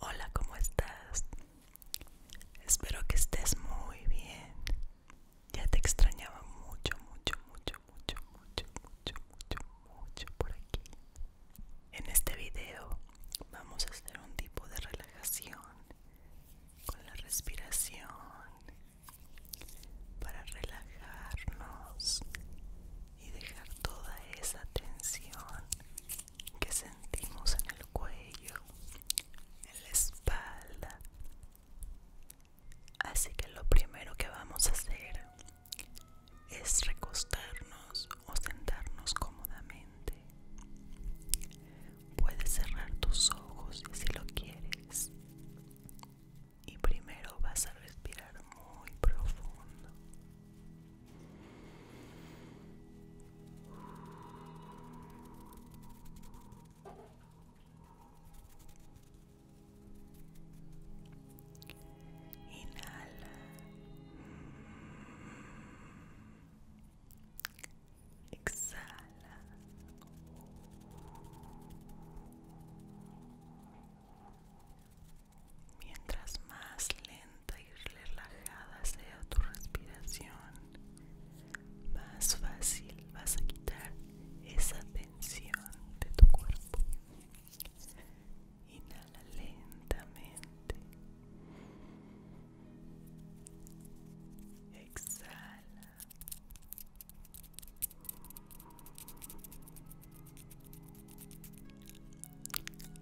Hola, ¿cómo estás? Espero que estés muy bien. Ya te extrañaba mucho, mucho, mucho, mucho, mucho, mucho, mucho, mucho por aquí. En este video vamos a hacer un tipo de relajación con la respiración para relajarnos y dejar toda esa tensión que sentimos en el cuello, en la espalda. Así que lo primero que vamos a hacer es recostarnos o sentarnos cómodamente. Puedes cerrar tus ojos si lo quieres. Y primero vas a respirar muy profundo. Inhala. Exhala. Mientras más lenta y relajada sea tu respiración, más fácil vas a quitar esa tensión de tu cuerpo. Inhala lentamente. Exhala.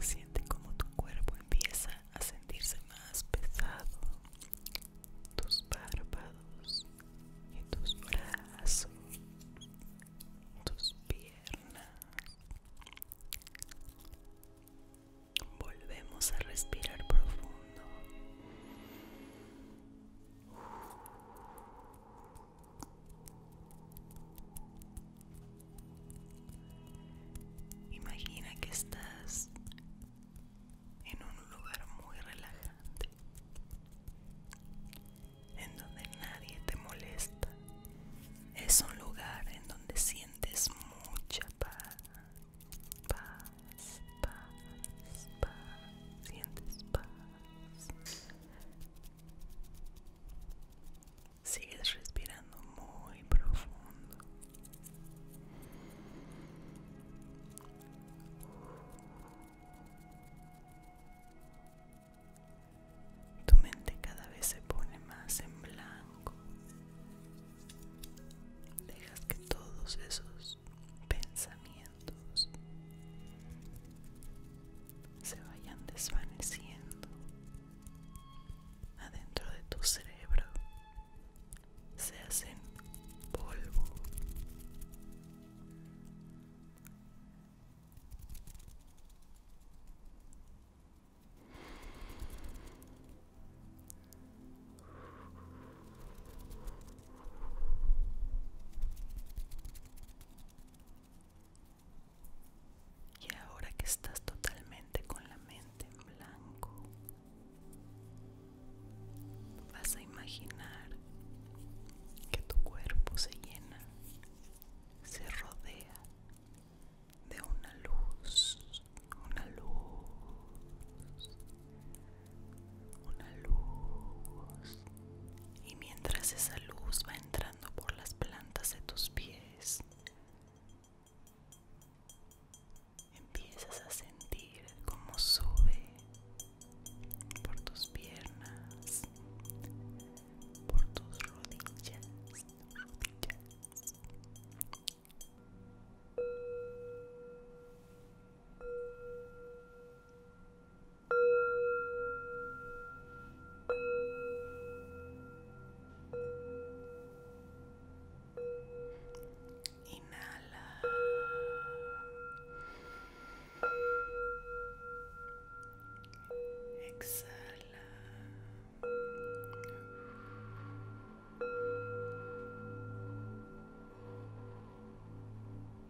Siente como tu cuerpo empieza a sentirse más pesado. Tus párpados y tus brazos, tus piernas. Volvemos a respirar profundo. Imagina que estás en un lugar muy relajante, en donde nadie te molesta. Es un lugar en donde sientes mucha paz, paz, paz, paz, sientes paz. Sigues respirando muy profundo. Tu mente cada vez se pone más en blanco. Dejas que todos esos pensamientos se vayan desvaneciendo adentro de tu cerebro, se hacen polvo. Y ahora que estás totalmente con la mente en blanco, vas a imaginar que tu cuerpo se llena, se rodea de una luz, una luz una luz y mientras esa luz va entrando por las plantas de tus pies empiezas a sentir cómo sube por tus piernas por tus rodillas, rodillas. Inhala. Exhala.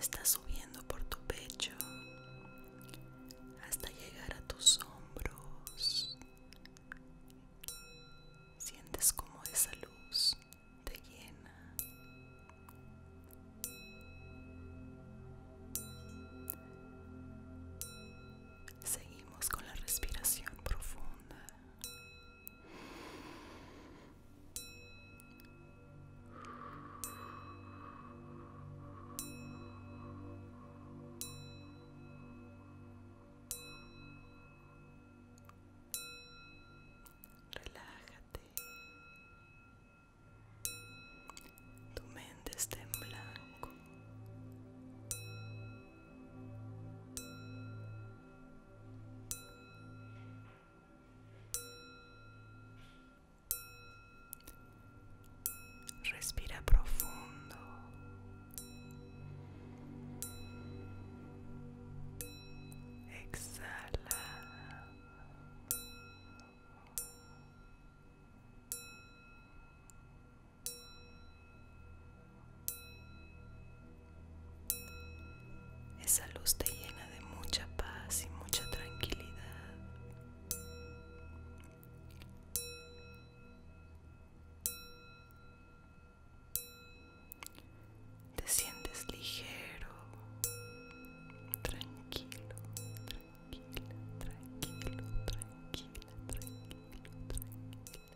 Está subiendo por tu pecho hasta llegar a tus hombros. Sientes como esa luz te llena. Seguimos con la respiración profunda. Relájate. Tu mente está en blanco. Respira profundo. Exhala. Esa luz te llena de mucha paz y mucha tranquilidad. Te sientes ligero, tranquilo, tranquilo, tranquilo, tranquilo, tranquilo, tranquilo.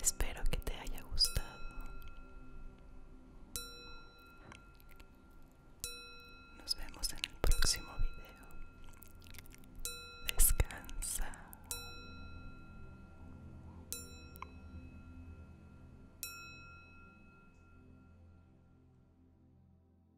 Espero que te haya gustado. Nos vemos en el próximo video. Descansa.